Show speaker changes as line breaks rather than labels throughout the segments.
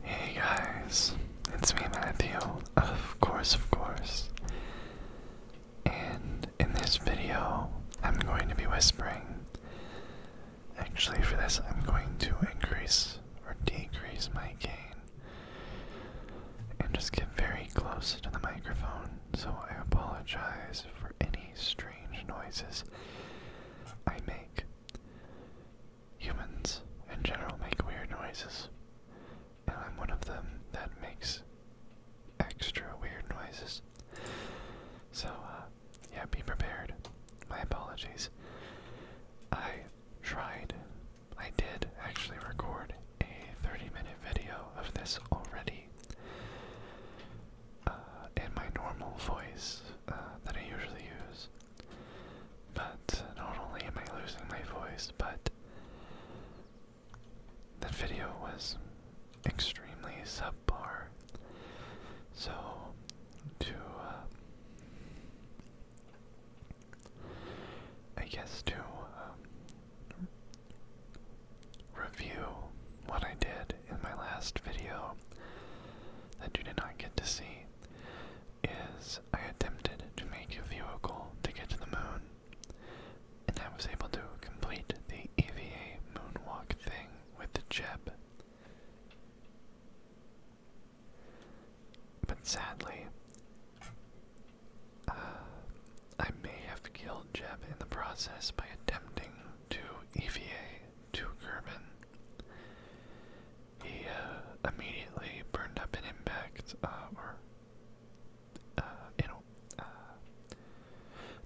Hey guys, it's me Matthew, of course, of course. And in this video,
I'm going to be whispering. Actually, for this, I'm going to
increase or decrease my gain and just get very close to the microphone, so I apologize for any strange noises I make. Humans, in general, make weird noises, and I'm one of them that makes extra weird noises. So, uh, yeah, be prepared. My apologies. I tried, I did actually record a 30 minute video of this already uh, in my normal voice, that I usually use. But uh, not only am I losing my voice, but the video was extremely subpar. So, to, uh, I guess to um, review what I did in my last video, that you did not get to see is I attempted to make a vehicle to get to the moon, and I was able to complete the EVA moonwalk thing with the Jeb. But sadly, uh, I may have killed Jeb in the process by attempting to EVA to German. He uh, immediately burned up in impact, uh, or uh, uh,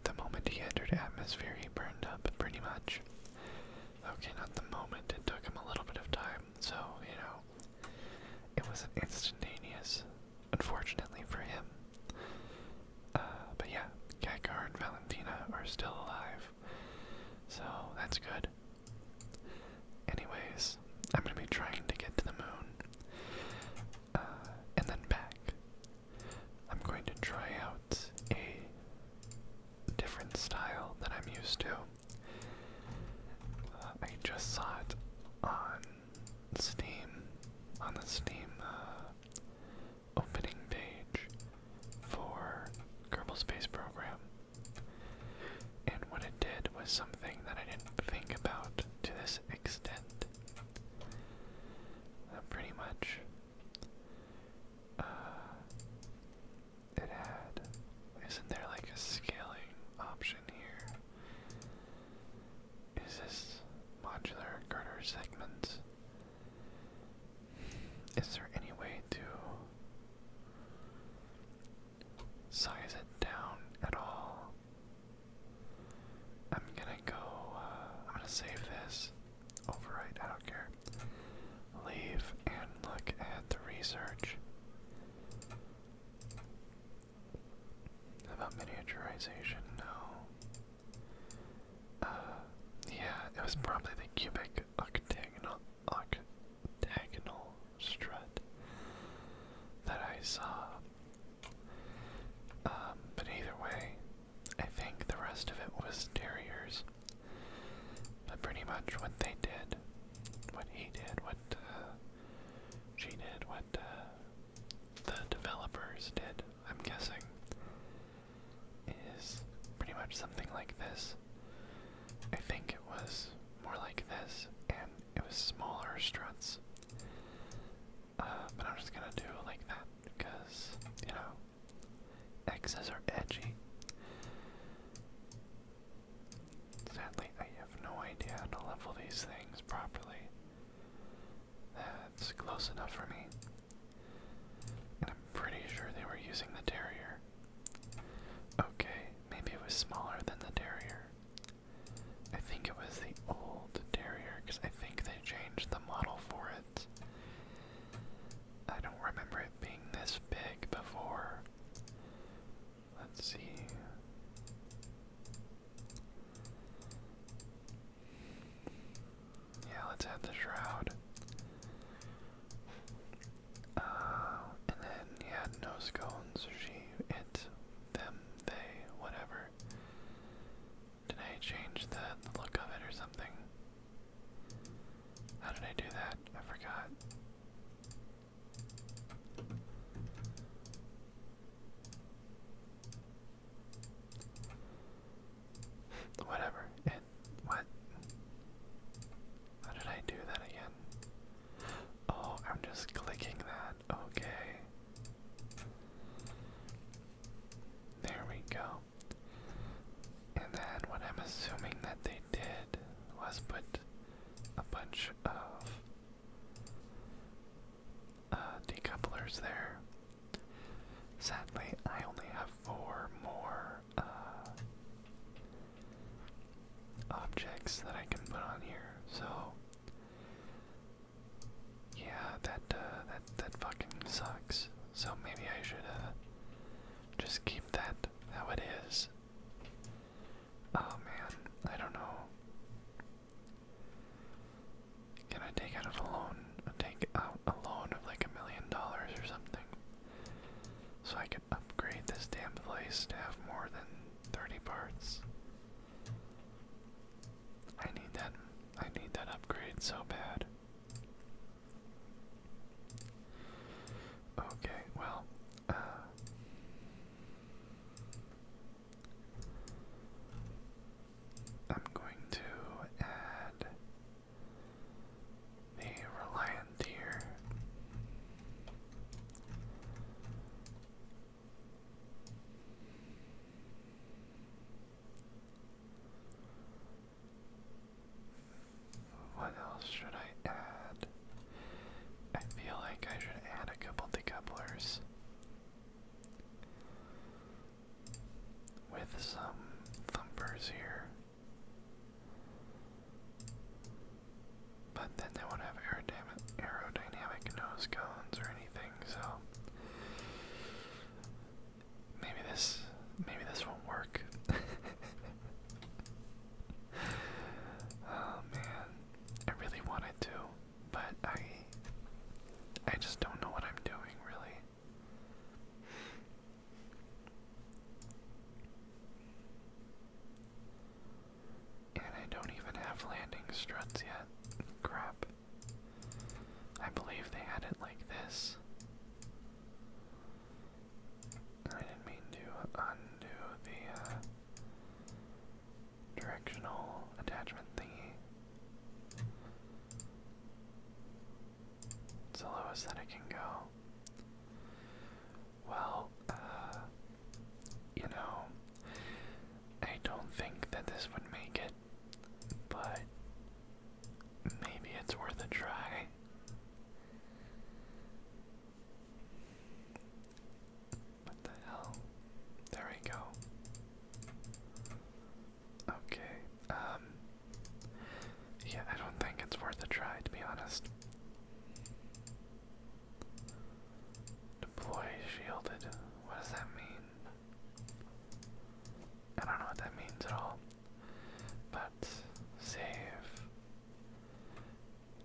the moment he entered atmosphere, he burned up pretty much. Okay, not the moment. It took him a little bit of time, so you know, it was instantaneous, unfortunately for him. but yeah, Gaggar and Valentina are still alive. So that's good. Anyways, I'm gonna be trying to get to the moon uh, and then back. I'm going to try out a different style that I'm used to. Uh, I just saw it on Steam, on the Steam uh, opening page for Kerbal Space Program. And what it did was something that I didn't think about to this extent. Uh, pretty much, uh, it had. Isn't there like a scaling option here? Is this modular girder segments? Is there any way to size it down at all? I'm gonna go, uh, I'm gonna save this, overwrite, I don't care. Leave and look at the research. About miniaturization, no. Uh, yeah, it was probably the cubic octagonal octagonal strut that I saw. Um, but either way, I think the rest of it was Terriers. But pretty much what they did, what he did, what uh, she did, what uh, the developers did, I'm guessing, is pretty much something like this. I think it was more like this, and it was smaller struts. Uh, but I'm just gonna do like that because, you know, X's are edgy. Sadly, I have no idea how to level these things properly. That's close enough for me. And I'm pretty sure they were using the terrier. Okay, maybe it was smaller than the Terrier. I think it was the old Terrier because I think they changed the model for it. I don't remember it being this big before. Let's see. Yeah, let's add the shroud. Uh, and then he had no scones, she, it, them, they, whatever. Did I change the, look of it or something? How did I do that? I forgot. Whatever, what? How did I do that again? Oh, I'm just clicking that. Okay. There we go. And then what I'm assuming that they did was put a bunch of uh, decouplers there. Sadly, I only have four more uh, objects that I can put on here. So yeah, that uh, that that fucking sucks. So maybe I should uh, just keep that how it is. Oh man, I don't know. Can I take out a loan? Take out a loan of like a million dollars or something? So I could upgrade this damn place to have more than 30 parts. I need that I need that upgrade so bad. Okay, well, uh, I'm going to add the Reliant here. What else should I add? I feel like I should add a couple decouplers with some thumpers here. But then they won't have aerodynamic nose cones or anything, so maybe this maybe this won't work. oh man, I really wanted to, but I I just don't know what I'm doing really. And I don't even have landing struts yet. Crap. I believe they had it like this. I didn't mean to undo the uh, directional attachment thingy. It's the lowest that it can go. Well, uh, you know, I don't think that this would make it, but maybe it's worth a try. What the hell? There we go. Okay, um, yeah, I don't think it's worth a try, to be honest. Deploy shielded. What does that mean? I don't know what that means at all. But save.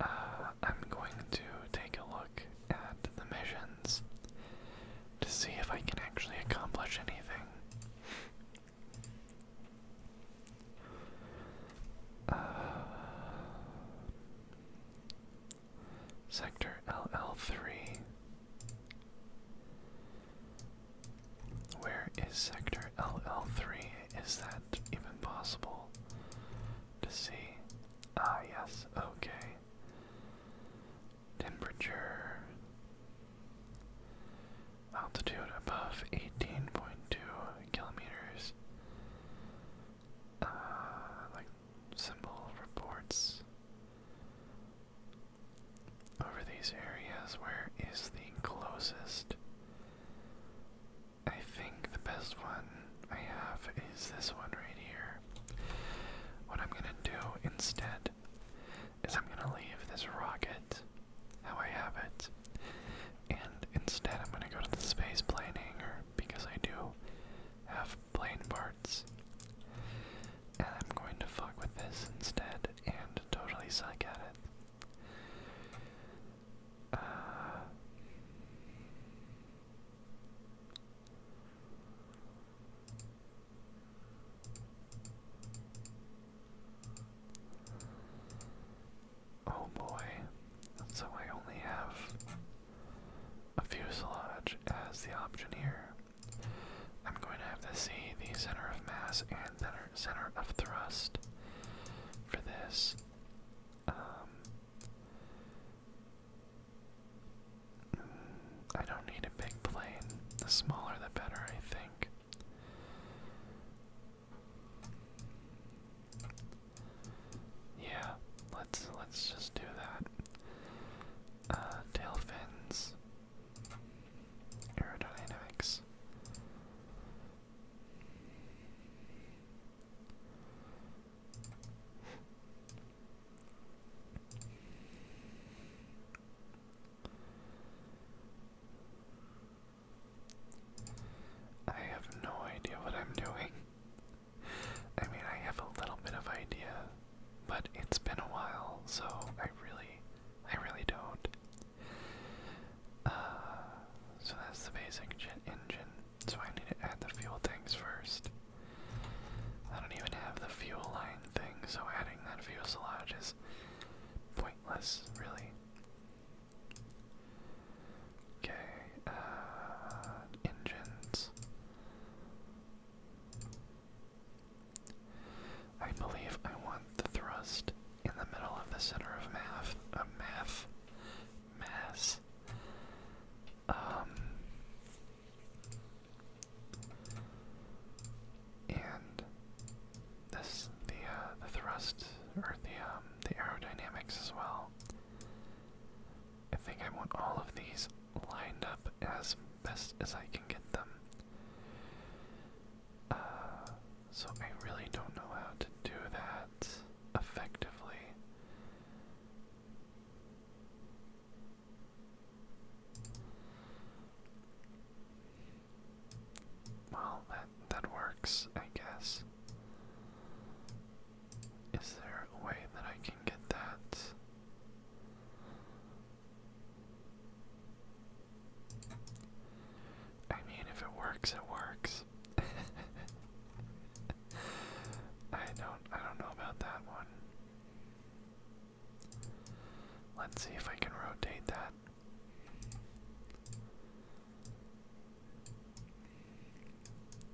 Uh, I'm going to take a look at the missions to see if I can actually accomplish anything. Uh, sector LL3. Where is sector LL3? Is that even possible to see? Ah, yes, okay. Temperature altitude above 18.2 kilometers. Uh, like symbol reports over these areas. Where is the closest? I think the best one I have is this one right here. What I'm gonna do instead is I'm gonna leave this rocket how I have it. And instead, I'm going to go to the space plane hangar because I do have plane parts. And I'm going to fuck with this instead and totally suck at it. Uh, Oh boy. So I only have a fuselage as the option here. I'm going to have to see the center of mass and center, center of thrust for this. Um, I don't need a big plane. The smaller the better, I think. Yeah, let's let's just do that. Uh, tail fins, aerodynamics. I have no idea what I'm doing. I mean, I have a little bit of idea, but it's been a while, so I really, I really don't. Uh, so that's the basic engine. So I need to add the fuel tanks first. I don't even have the fuel line thing, so adding that fuselage is pointless, really. Okay, uh, engines. I believe I want the thrust in the middle of the center of math, a uh, mass. Um, and this the
uh, the thrust or the um, the aerodynamics as well. I think I want all of these lined up as best as I can get them.
Uh, so I really don't know how to do that effectively. Well, that that works, I guess. Is there a way that I can get that? I mean, if it works, it works. I don't I don't know about that one. Let's see if I can rotate that.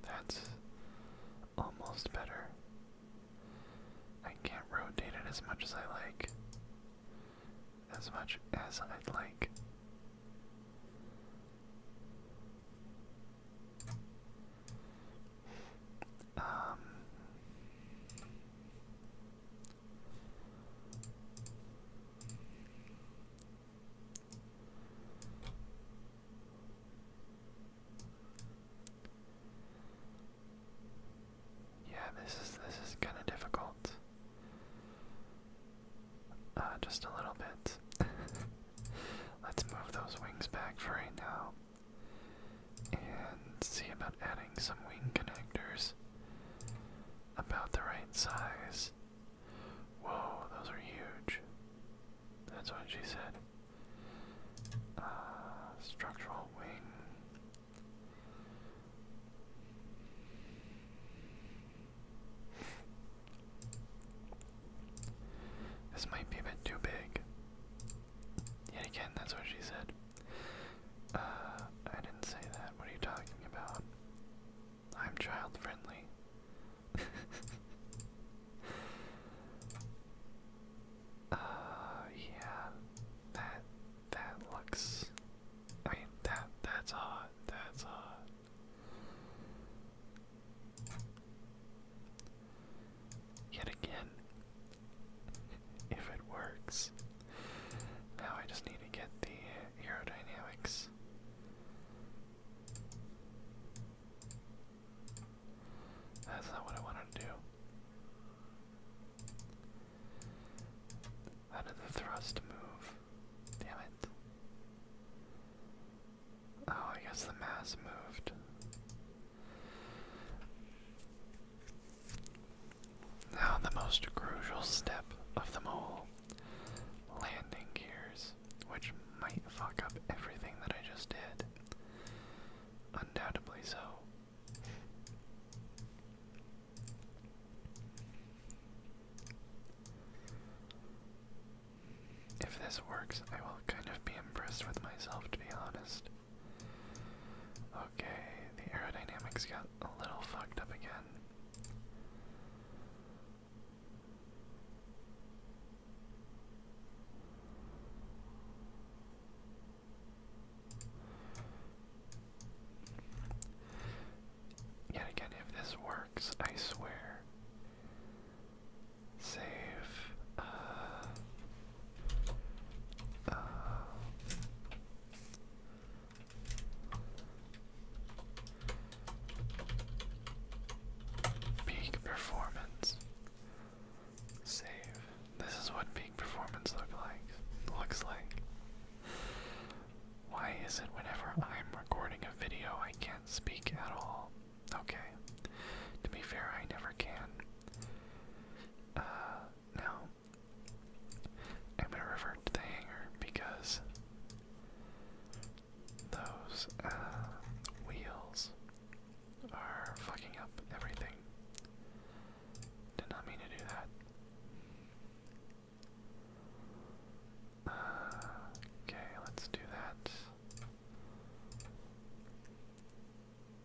That's almost better. I can't rotate it as much as I like. As much as I'd like. Um yeah, this is this is kind of difficult. Uh, just a little bit. Let's move those wings back for right now, and see about adding some wing
connectors about the right size. Whoa, those are huge. That's what she said. Uh, structural wing.
This might be a bit too big. Yet again, that's what she said. Uh, I didn't say that. What are you talking about? I'm child friendly. uh, yeah, that that
looks. I mean, that that's hot. That's hot. Yet
again, if it works. Now I just need to get the aerodynamics that's not what I wanted to do. How did the thrust move? Damn it. Oh, I guess the mass moved. Now, the most crucial step of them all landing gears, which might fuck up everything that I just did. Undoubtedly so. If this works, I will kind of be impressed with myself, to be honest. Okay, the aerodynamics got a little fucked up again. Yet again, if this works, I swear. Save. Uh, uh, Peak performance. Save. This is what peak performance look like looks like. Why is it whenever I'm recording a video I can't speak at all? Okay. To be fair, I never can. Uh, now, I'm gonna revert to the hanger because those uh, wheels are fucking up everything. Did not mean to do that. Uh, okay, let's do that.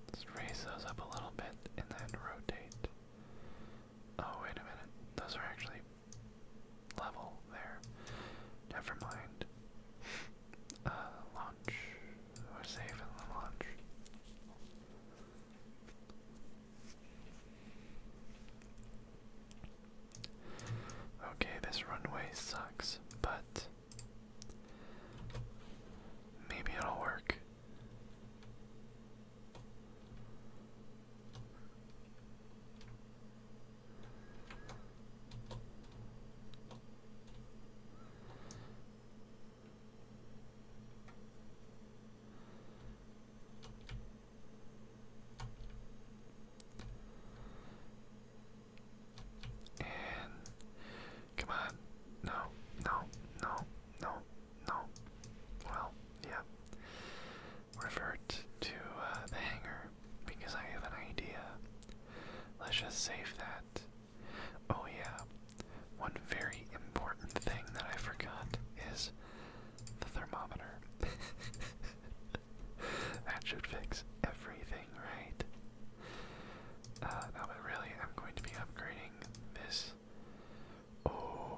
Let's raise those up a little bit and then rotate. Oh, wait a minute. Those are actually level there. Never mind. Uh, launch. We're safe launch. Okay, this runway sucks, but maybe it'll work come on. No, no, no, no, no. Well, yeah. Revert to uh, the hangar because I have an idea. Let's just save that. Oh, yeah. One very important thing that I forgot is the thermometer. that should fix everything, right? Uh, no, really, I'm going to be upgrading this. Oh.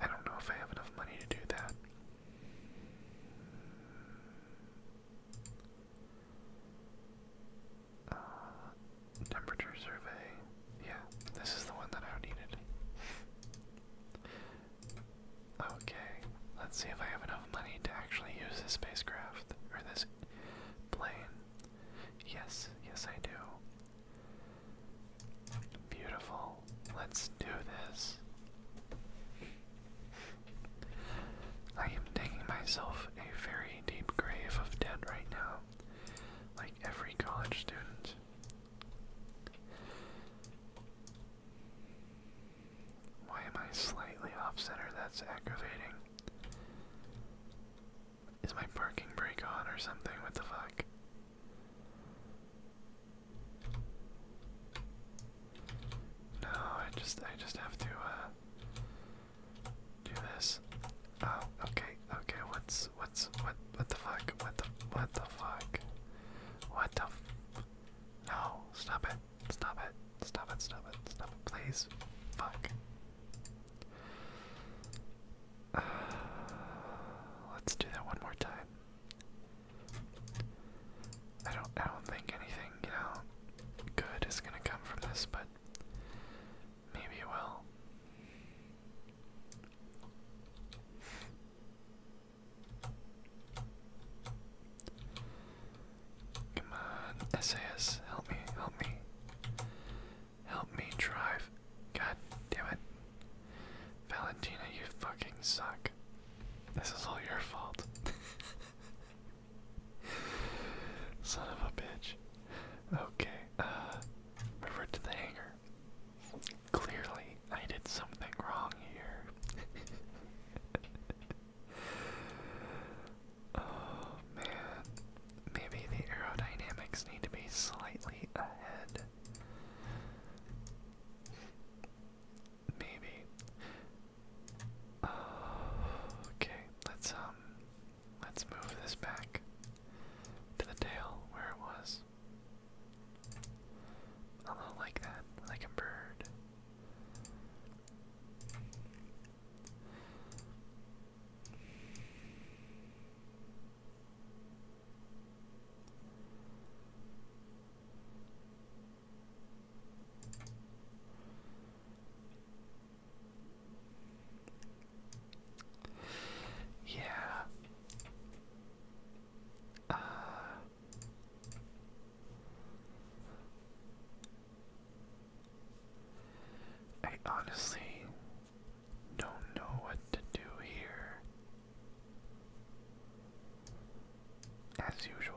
I don't know if I have enough money to do that. Uh, temperature survey. Yeah, this is the one that I needed.
Okay, let's see if I have enough money to actually use this spacecraft or this
plane. Yes, yes, I do. Beautiful. Let's do this. I am digging myself a very deep grave of debt right now, like every college student. Why am I slightly off center? That's aggravating. Is my parking brake on or something? What the fuck? No, I just I just have to uh, do this. Oh, okay, okay, what's what's what what the fuck? What the what the fuck? What the No, stop it, stop it, stop it, stop it, stop it, please. Fuck. let's do that one more time. I don't I don't think anything, you know, good is gonna come from this, but maybe it will. Come on, SAS, help me, help me. Help me drive. God damn it. Valentina, you fucking suck. This is all your fault. Son of a bitch. Okay, uh, revert to the hangar. Clearly, I did something wrong here. oh man. Maybe the aerodynamics need to be slightly ahead. Maybe. Oh, okay, let's um let's move this back to the tail where it was. A little like that, like a bird. Yeah. Uh, I honestly don't know what to do here. As usual.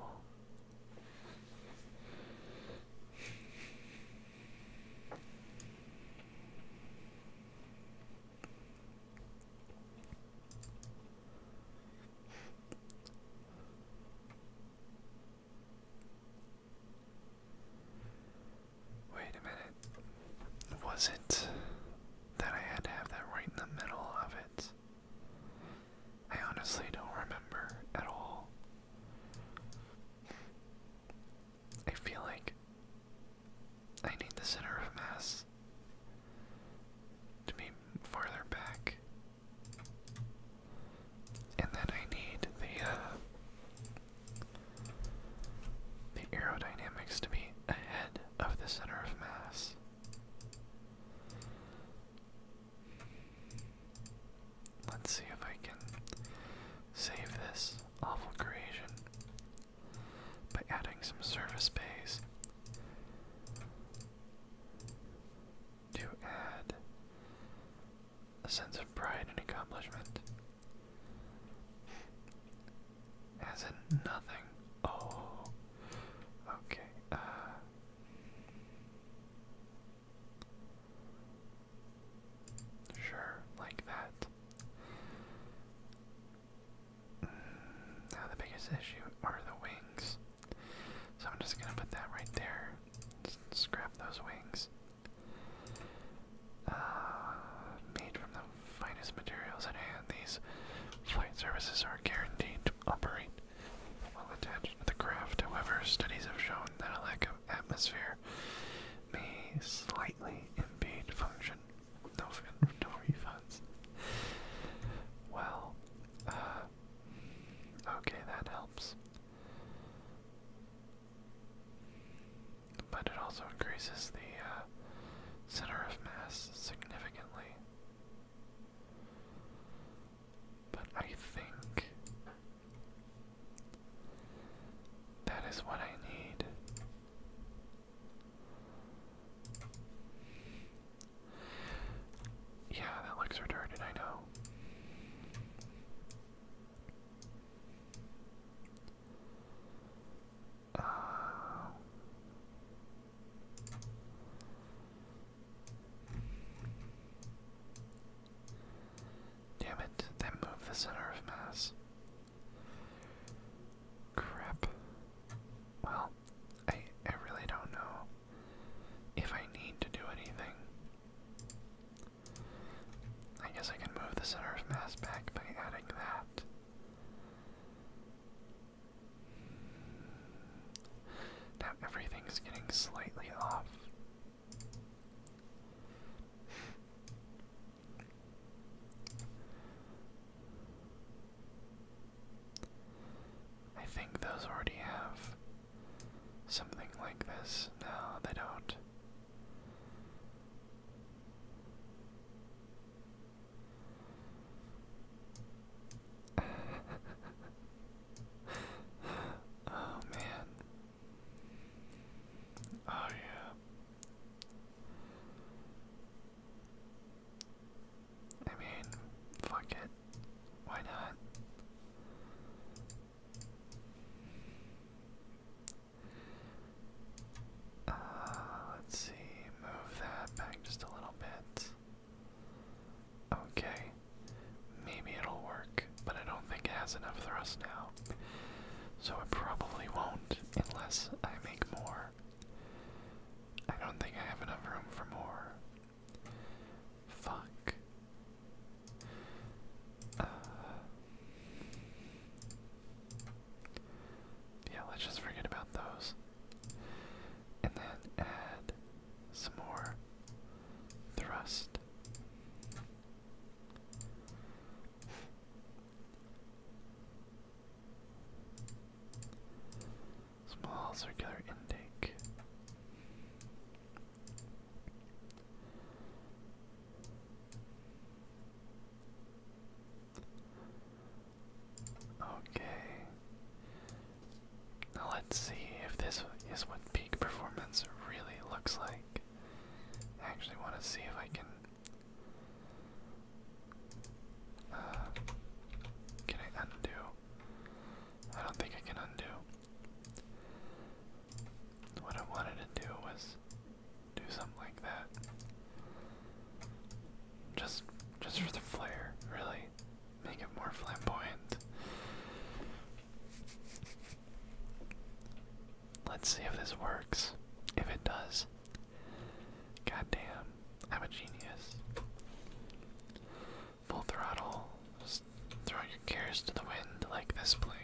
Wait a minute. Was it that I had to have that right in the middle of it. I honestly don't remember at all. I feel like I need the center of mass to be farther back. And then I need the uh, the aerodynamics to be ahead of the center of mass. Let's see if I can save this awful creation by adding some surface space to add a sense of pride and accomplishment. As in nothing? Oh. Okay. Uh. Sure, like that. Mm, now the biggest issue are the wings. So I'm just gonna put that right there. scrap those wings. Uh, made from the finest materials at hand, these flight services are guaranteed to operate well attached to the craft. However, studies have shown that a lack of atmosphere may slightly impede function. No, no refunds. Well, uh, okay, that helps. But it also increases the uh, center of mass significantly. But I think that is what I need. Yeah, that looks retarded, I know damn it, they moved the center of mass. Crap. Well, I I really don't know if I need to do anything. I guess I can move the center of mass back by adding that. Now everything's getting slightly off. I think those already have something like this. No, they don't oh man. Oh yeah. I mean, fuck it. Why not? Uh, let's see, move that back just a little bit. Okay, maybe it'll work, but I don't think it has enough thrust now. So it probably won't unless I make more. I don't think I have enough room for more. Fuck. Uh, yeah, let's just forget about those and then add some more thrust. Small circular intake. Okay. Now let's see if this is what peak performance really looks like. I actually want to see if I can. Uh, can I undo? I don't think I can undo. What I wanted to do was do something like that. Just just for the flair, really. Make it more flamboyant. Let's see if this works. If it does. Goddamn, I'm a genius. Full throttle. Just throw your cares to the wind like this plane.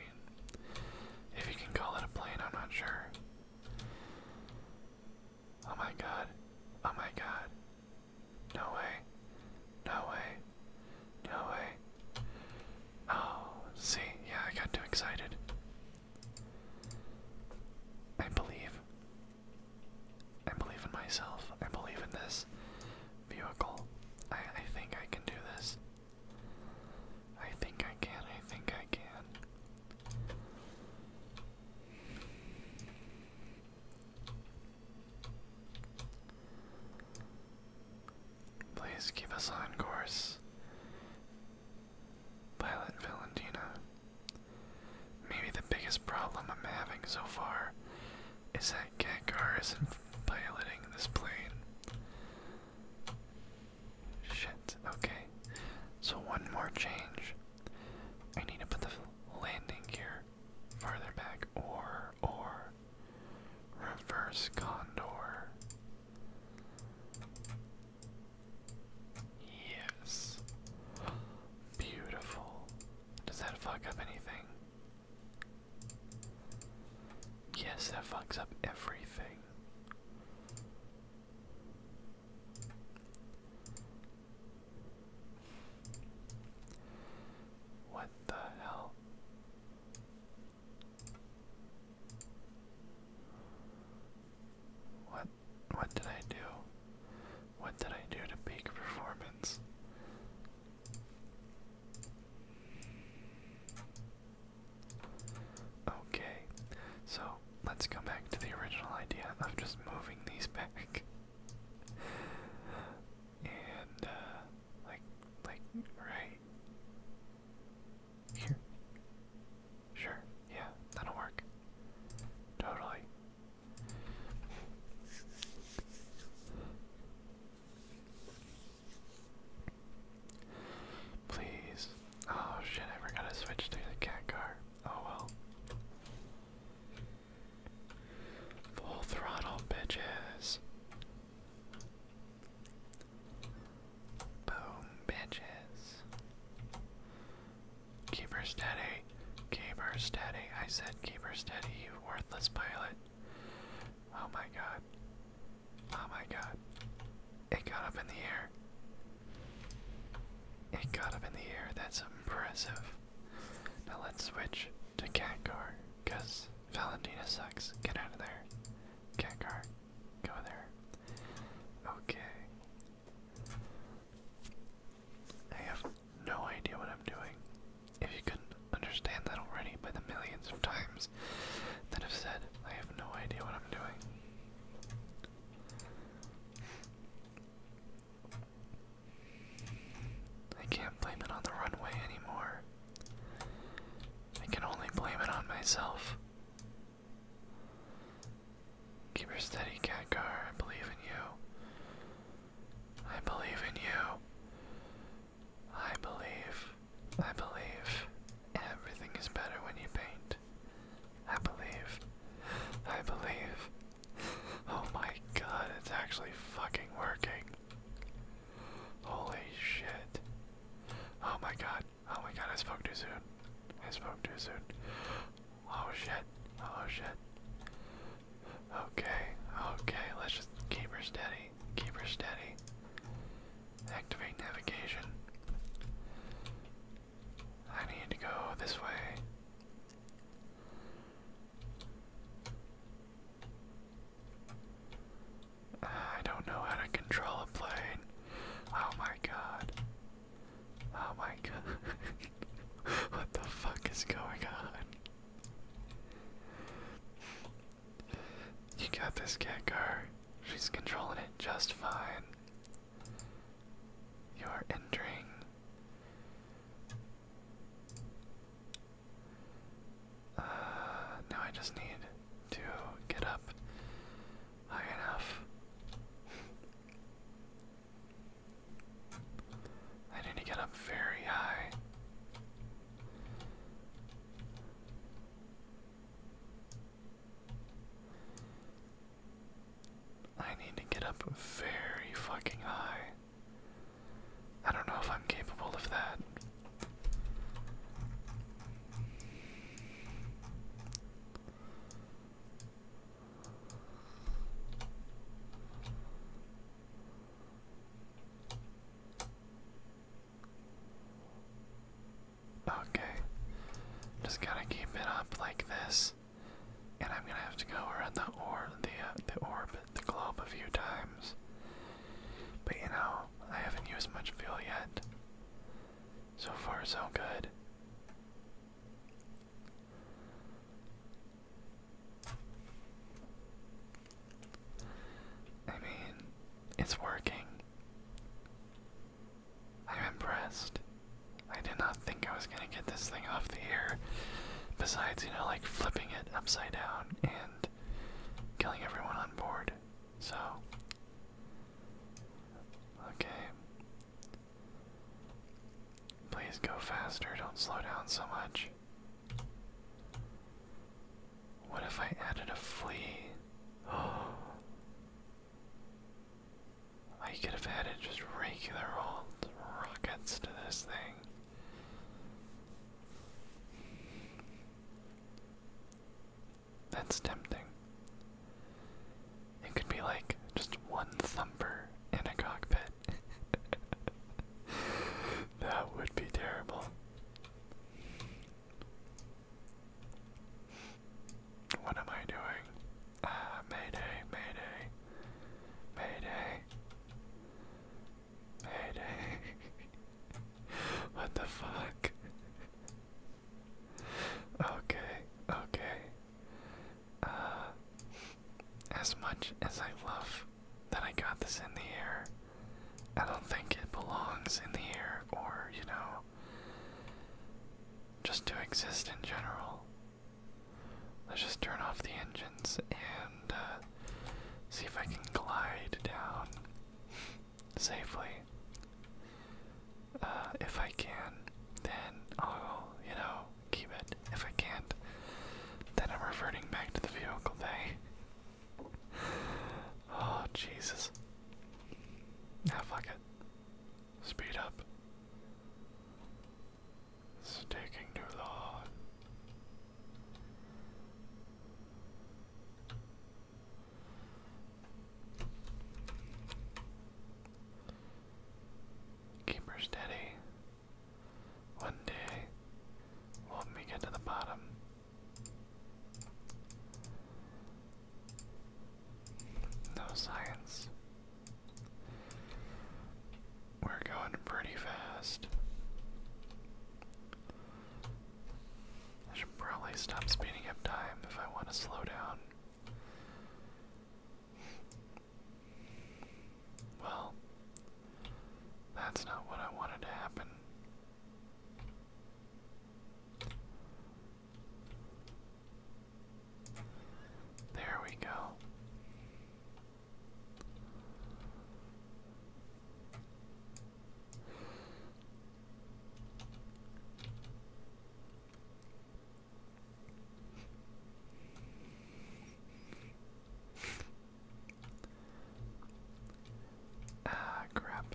If you can call it a plane,
I'm not sure. Oh my god. Oh my
god. No way. No way. No way. Oh, see, yeah, I got too excited. I believe. I believe in myself. I believe in this vehicle. I, I think I can do this. I think I can. I think I can. Please keep us on course. Pilot Valentina. Maybe the biggest problem I'm having so far is that Gengar isn't piloting this plane. Shit, okay. So one more change. I need to put the landing gear farther back, or, or, reverse condor. Yes. Beautiful. Does that fuck up anything? Yes, that fucks up everything. What the hell? What what did I do? What did I do to peak performance? Okay, so let's go back to the original idea of just moving these back. And, uh, like, like, right here. Sure, yeah, that'll work. Totally. Please. Oh shit, I forgot to switch to the cat car. Oh well. Full throttle, bitches. Boom, bitches. Keep her steady. Keep her steady. I said keep her steady, you worthless pilot. Oh my god. Oh my god. It got up in the air. It got up in the air. That's impressive. Now let's switch to Cat Catgar, because Valentina sucks. Get out of there. Cat Catgar, go there. Okay. I have no idea what I'm doing. If you couldn't understand that already by the millions of times that I've said, I have no idea what I'm doing. I can't blame it on the runway anymore. I can only blame it on myself. Keep her steady, Catcar. I believe in you. I believe in you. I believe. I believe. Everything is better when you paint. I believe. I believe oh my god, it's actually fucking working. Holy shit. Oh my god. Oh my god, I spoke too soon. I spoke too soon. Oh shit. Oh shit. Okay, okay, let's just keep her steady. Keep her steady. Activate navigation. I need to go this way. Uh, I don't know how to control a plane. Oh my god. Oh my god. what the fuck is going on? You got this, cat She's controlling it just fine. You're entering now I just need to get up high enough. I need to get up very high. I need to get up very fucking high. I don't know if I'm capable of that. Okay. Just gotta keep it up like this and I'm gonna have to go around the orb, the uh, the orbit, the globe a few times. But you know, I haven't used much fuel yet. So far, so good. I mean, it's working. I'm impressed. I did not think I was gonna get this thing off the air. Besides, you know, like flipping it upside down and killing everyone on board. So, okay. Please go faster, don't slow down so much. What if I added a flea? I could have added just regular old rockets to this thing. That's tempting. It could be like just one thumper in a cockpit. that would be terrible. What am I doing? Ah, mayday, mayday, mayday, mayday. what the fuck? okay, okay. Uh, as much as I love that I got this in the air, I don't think it belongs in the air or, you know, just to exist in general. Let's just turn off the
engines and uh, see if I can glide down safely. Uh, if I can, then I'll, you know, keep it. If I can't, then I'm reverting back to the
vehicle bay. oh, Jesus. Now, ah, fuck it. Speed up. It's taking too long. Keep her steady. One day, will help me get to the bottom. No science. We're going pretty fast. I should probably stop speeding up time if I want to slow down. Well, that's not what I wanted to happen. There we go. Ah, crap.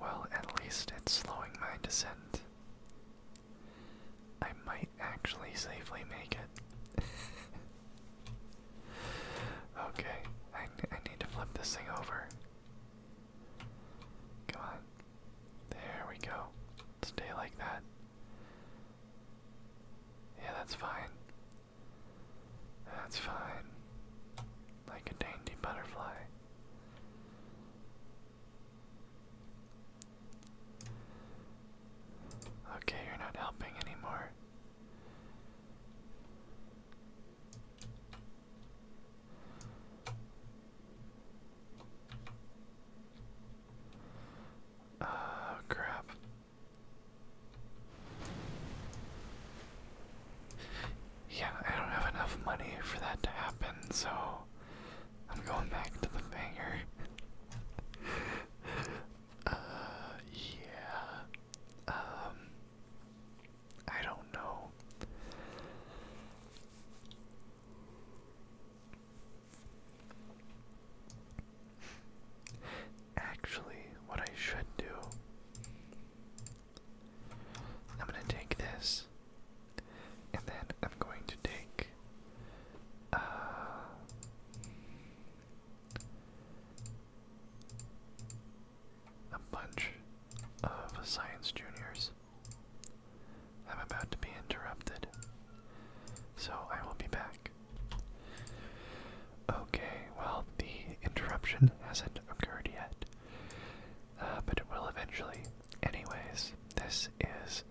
Well, at least it's slowing my descent. I might actually safely make it. okay, I, I need to flip this thing over. Come on. There we go. Stay like that. Yeah, that's fine. That's fine. Like a dainty butterfly. Okay, you're not helping anymore. Oh, crap. Yeah, I don't have enough money for that to happen, so I'm going back to the banger. Uh, yeah. Um, I don't know. Actually, what I should do, I'm gonna take this and then I'm going to take uh, a bunch of science juniors. I'm about to be interrupted, so I will be back. Okay, well, the interruption hasn't occurred yet, uh, but it will eventually. Anyways, this is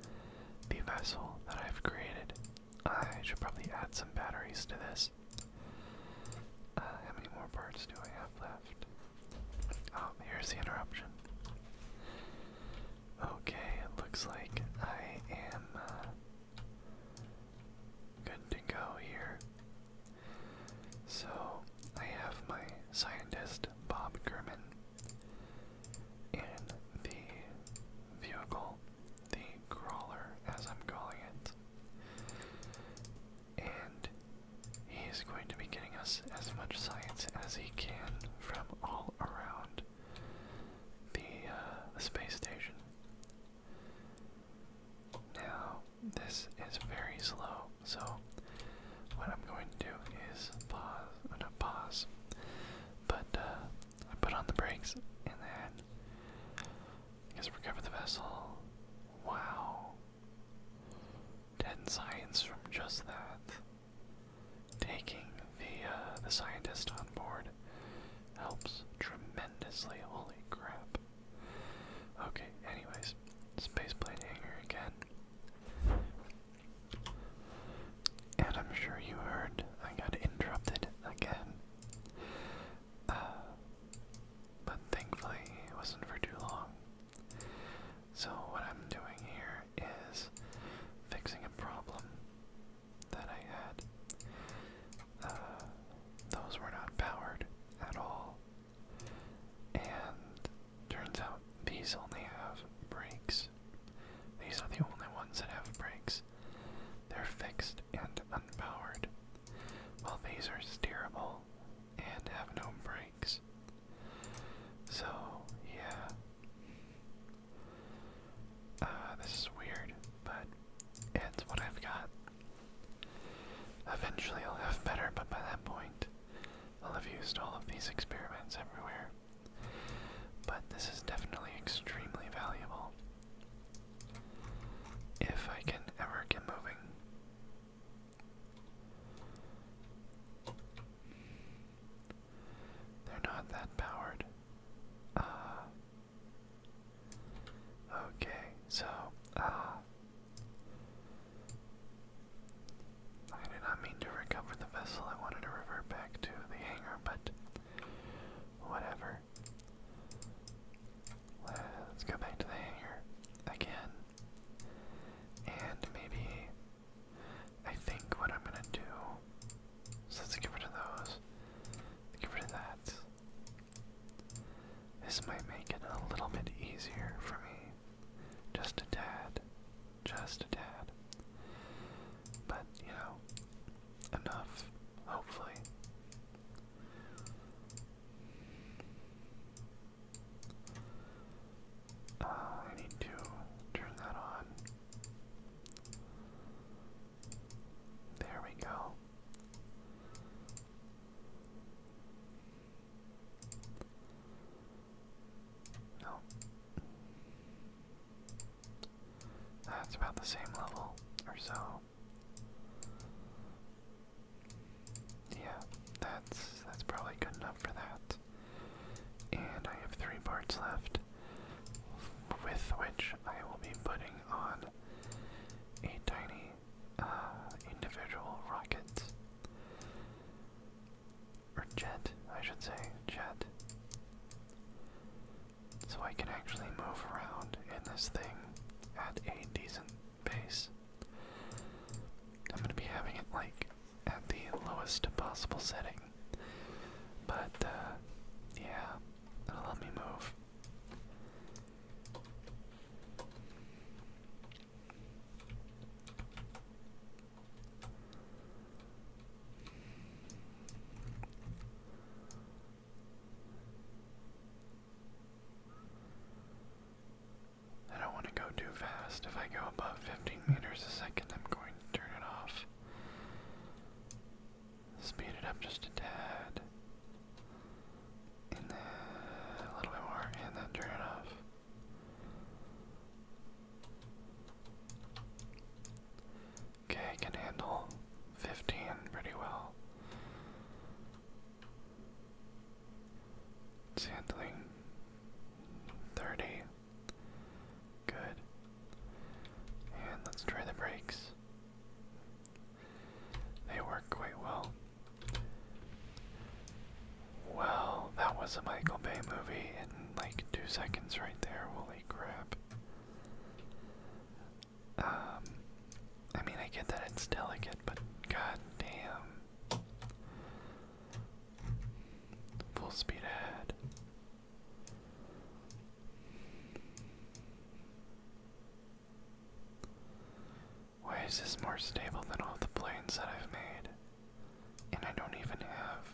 the vessel that I've created. I should probably add some batteries to this. Uh, how many more parts do I have left? Oh, here's the interruption. Okay, it looks like I am uh, good to go here. So, I have my scientist, Bob Gurman, in the vehicle, the crawler as I'm calling it. And he's going to be getting us as much science as he can from all around the, uh, space station. Now, this is very slow, so what I'm going to do is pause, not pause, but uh, I put on the brakes and then I guess recover the vessel. Wow. Ten science from just that. Taking the uh, the
scientist on board helps tremendously. Holy crap. Okay, anyways, spaceplane
hangar again. And I'm sure you heard I got interrupted again. Uh, but thankfully, it wasn't for too long. So, what I'm doing here is fixing a problem that I had. Uh, those were not powered at all. And turns out these only have brakes. These are the only ones that have brakes. They're fixed and unpowered, while these are steerable and have no brakes. So, yeah. Uh, this is weird, but it's what I've got. Eventually I'll have better, but by that point, I'll have used all of these experiments everywhere. But this is definitely extremely valuable. If I can ever get moving. They're not that powered. Uh, okay, so, uh, I did not mean to recover the vessel. I wanted to revert back to the hangar, but Whatever. Let's go back to the hangar again. And maybe I think what I'm gonna do is let's get rid of those. Get rid of that. This might make it a little bit easier for me. Just a tad just a tad. But, you know, enough, hopefully. Uh, I need to turn that on. There we go. No. That's about the same level or so. Yeah, that's that's probably good enough for that. And I have three parts left, with which I will be putting on a tiny uh, individual rocket or jet, I should say jet so I can actually move around in this thing at a decent pace. I'm going to be having it like at the lowest possible setting, but uh, yeah, that will let me move. I don't want to go too fast. If I go above 15 meters a second, I'm going to turn it off. Speed it up just a tad. And then a little bit more, and then turn it off. Okay, I can handle 15 pretty well. It's handling 30. Good. And let's try the brakes. They work quite well. Well, that was a Michael Bay movie in like two seconds right there. Holy crap. Um, I mean, I get that it's delicate, but god damn. Full speed ahead. Why is this more stable than all the planes that I've made? And I don't even have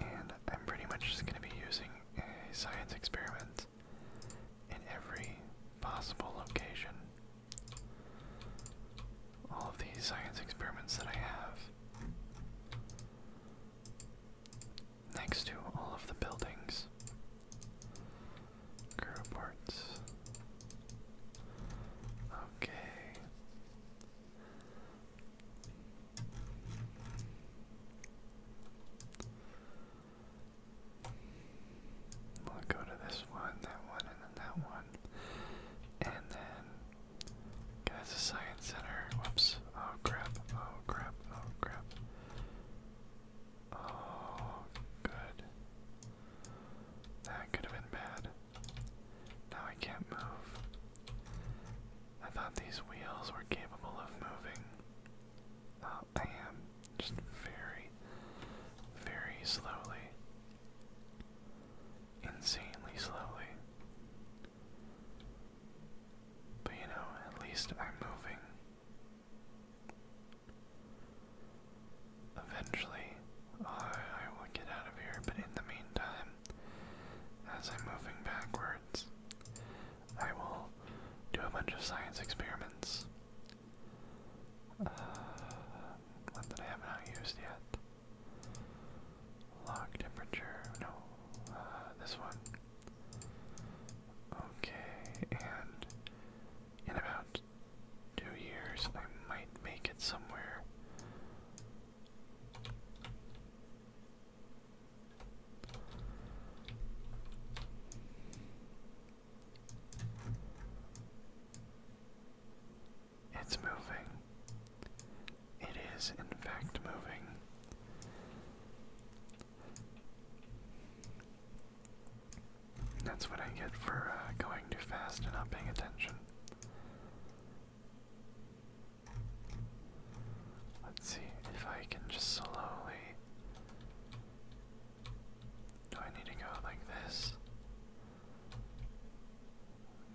And I'm pretty much just going to be using a science experiment in every possible location.
All of these science experiments that I have next to all of the buildings Girl parts. Okay. We'll go to this one, that one, and then that one. And then guys the science center. Whoops. Oh crap. Oh crap. Oh crap. Oh, good. That could have been bad. Now I can't move. I thought these wheels were capable of moving. Uh, I just very, very slowly, insanely slowly. But you know, at least I'm moving. Eventually, I will get out of here, but in the meantime, as I'm moving backwards, I will do a bunch of science experiments. Uh, one that I have not used yet. Log temperature, no, uh, this one. Okay, and in about two years, I might make it somewhere. It's moving. It is, in fact, moving. That's what I get for uh, going too fast and not paying attention. Let's see if I can just slowly. Do I need to go like this?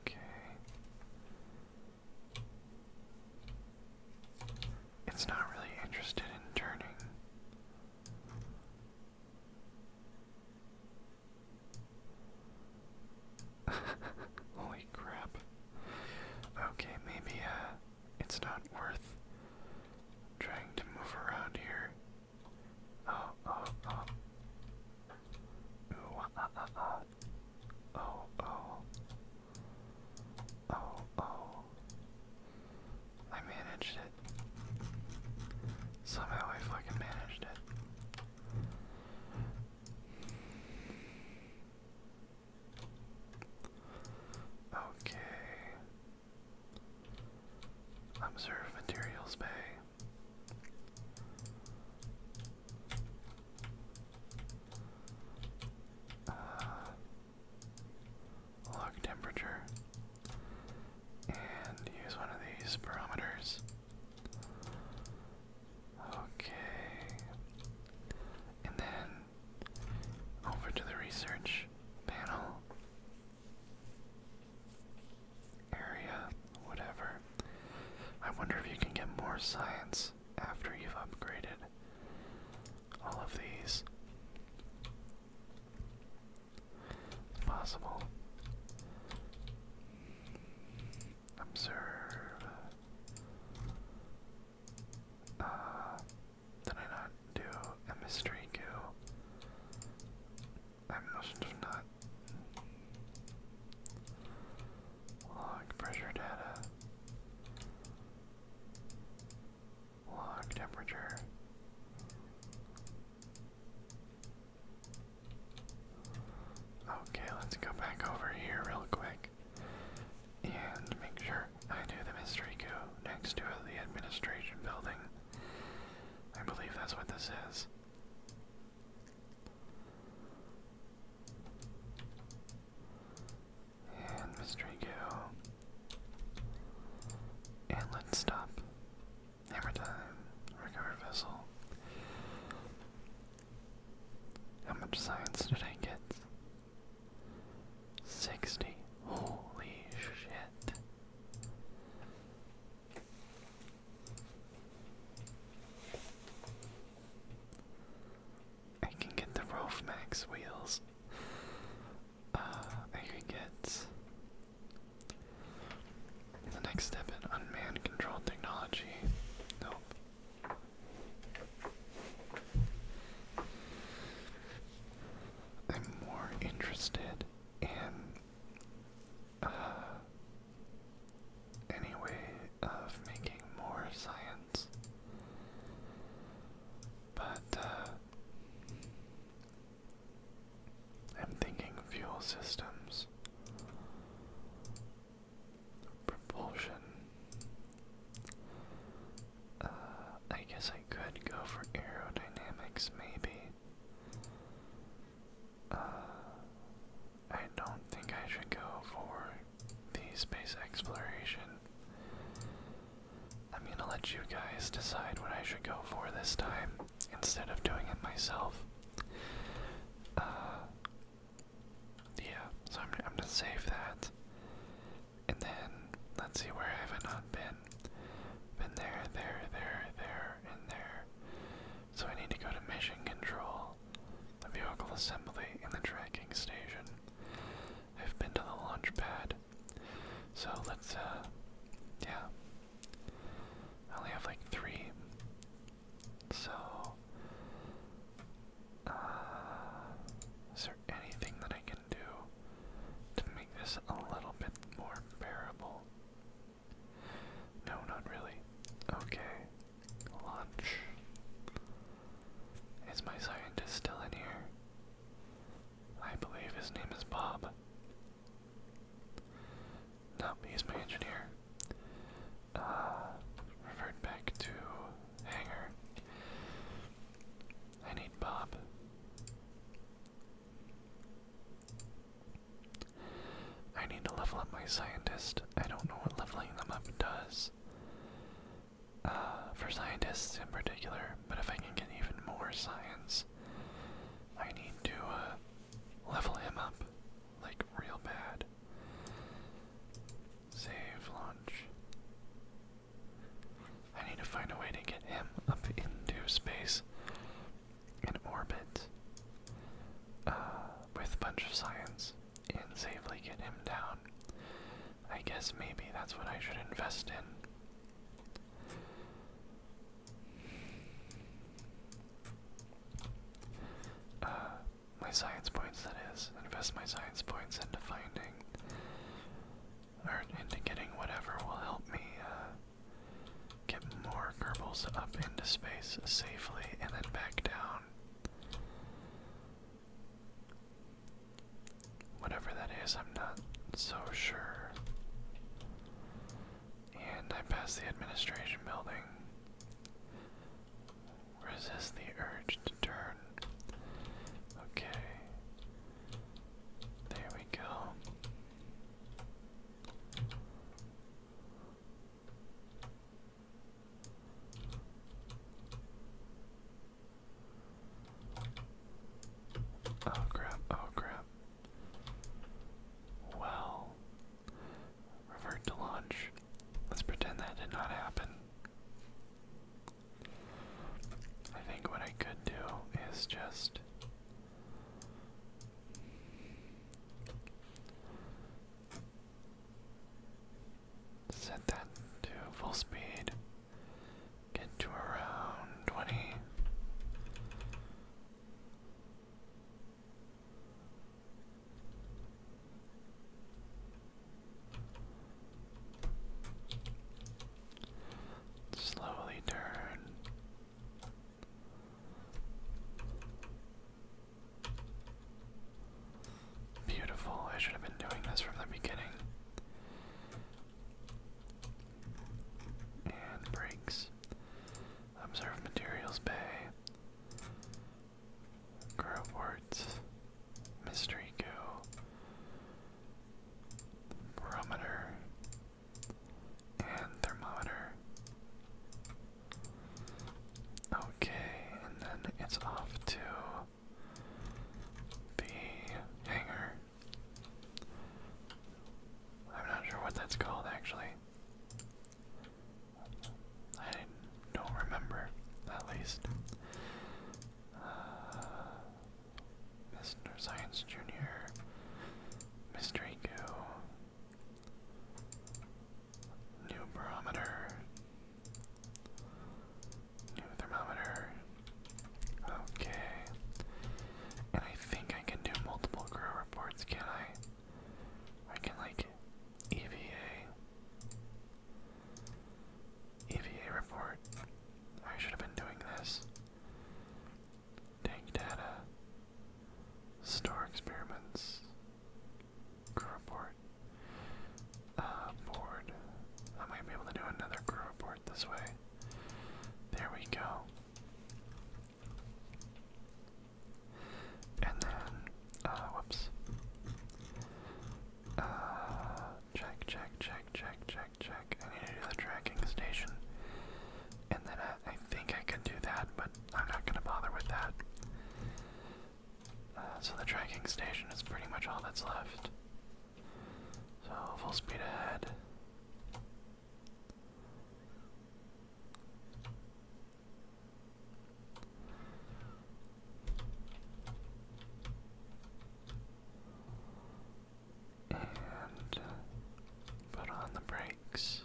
Okay. It's not really interested in turning. Holy crap. Okay, maybe uh, it's not worth trying to move around here. Oh, oh, oh. Ooh, ah, ah, ah, ah. Oh, oh. Oh, oh. I managed it. Somehow I fucking managed it. Okay. Observe materials bay. Uh, Lock temperature, and use one of these barometers. Okay, and then over to the research panel area, whatever. I wonder if you can get more science after you've upgraded all of these as possible. Observe. Uh, did I not do a mystery goo? I must have not. Log pressure data. Log temperature. Okay, let's go back over here real quick and make sure I do the mystery coup next to the administration building. I believe that's what this is. And mystery coup. And let's stop. Hammer time. Recover vessel. How much science did I get? 60. Holy shit. I can get the Rove Max wheels uh, I get the next step in unmanned control technology. Nope. I'm more interested in uh, any way of making more
science, but uh, I'm thinking
fuel systems, propulsion. Uh, I guess I could go for aerodynamics, maybe. Uh, I don't think I should go for the space exploration. I'm gonna let you guys decide what I should go for this time instead of doing it myself. Uh, yeah, so I'm, gonna save that. And then, let's see where have not been. Been there, there, there, there, and there. So I need to go to mission control, the vehicle assembly, and the tracking station. I've been to the launch pad. So let's, uh, yeah. I only have like three. So, uh, is there anything that I can do to make this a little bit more bearable? No, not really. Okay. Launch. Is my scientist still in here? I believe his name is Bob. Now he's my engineer. Uh, back to hangar. I need Bob. I need to level up my scientist. I don't know what leveling them up does. Uh, for scientists in particular, but if I can
get even more science, I need to uh, level him up,
like real bad. Save launch. I need to find a way to get him up into space and orbit uh, with a bunch of science and safely get him down. I guess maybe that's what I should invest in. Uh, my science points, that is. Invest my science points into finding, or into getting whatever will help me uh, get more Kerbals up into space safely and then back down. Whatever that is, I'm not so sure. And I pass the administration building. Resist the urge to turn. Okay. There we go. Oh crap, oh crap. Well, revert to launch. Let's pretend that did not happen. I think what I could do is just set that to full speed Get to around 20. Slowly turn. Beautiful. I should have been doing this from the beginning. And brakes. Observe Materials Bay. Growwort. Mystery Go. Barometer. And thermometer. Okay, and then it's off to the hangar. I'm not sure what that's called actually. I don't remember, at least. Uh, Mr. Science Jr., Mr. Eco, New Barometer, New Thermometer, Okay. And I think I can do multiple grow reports, can I? I can like EVA. EVA report. I should have been doing this. Take data. Store experiments. Grow report. Uh, board. I might be able to do another grow report this way. There we go. And then, uh, whoops.
Uh, check, check, check, check, check, check. I
need to do the tracking station. And then I, think I can do that, but I'm not gonna bother with that. Uh, so the tracking station is pretty much all that's left. So full speed ahead. And put on the brakes.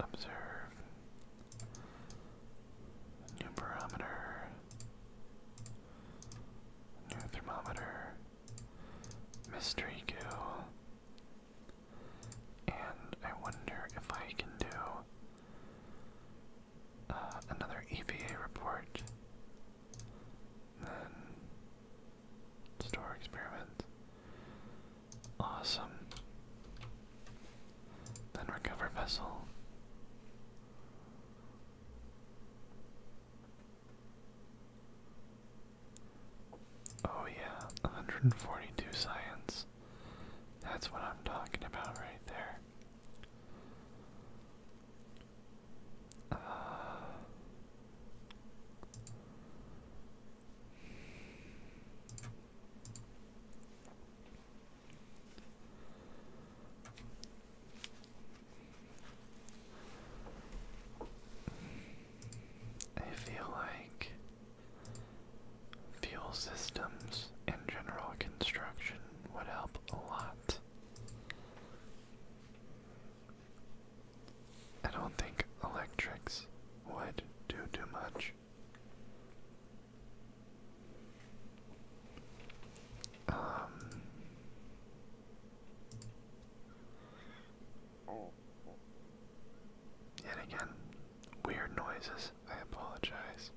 Observe new barometer, new thermometer mystery goo. And I wonder if I can do uh, another EVA report. Then store experiment. Awesome. Then recover vessel. Oh, yeah, 142 science. That's what I'm talking about right there. Uh, I feel like fuel systems and general construction would help a lot. I don't think electrics would do too much. Um, Yet again, weird noises. I apologize.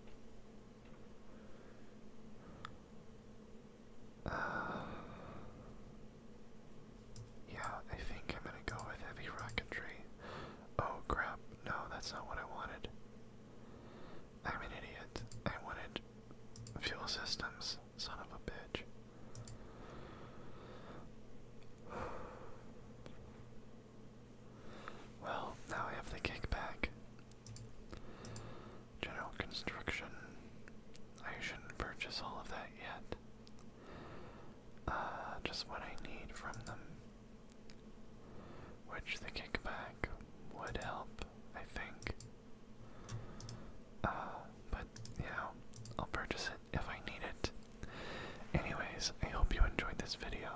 Uh, yeah, I think I'm gonna go with heavy rocketry. Oh crap, no, that's not what I wanted. I'm an idiot. I wanted fuel systems. Son of a bitch. Well, now I have the kickback. General construction. I shouldn't purchase all of that yet. Uh, just what I need from them. Which the kickback would help, I think. Uh, but yeah, I'll purchase it if I need it. Anyways, I hope you enjoyed this video.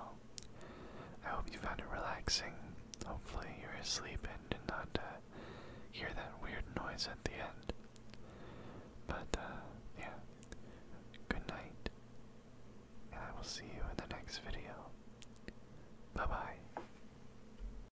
I hope you found it relaxing. Hopefully, you're asleep and did not uh, hear that weird noise at the end. But uh, yeah,
good night, and I will see you in the next video. Bye bye.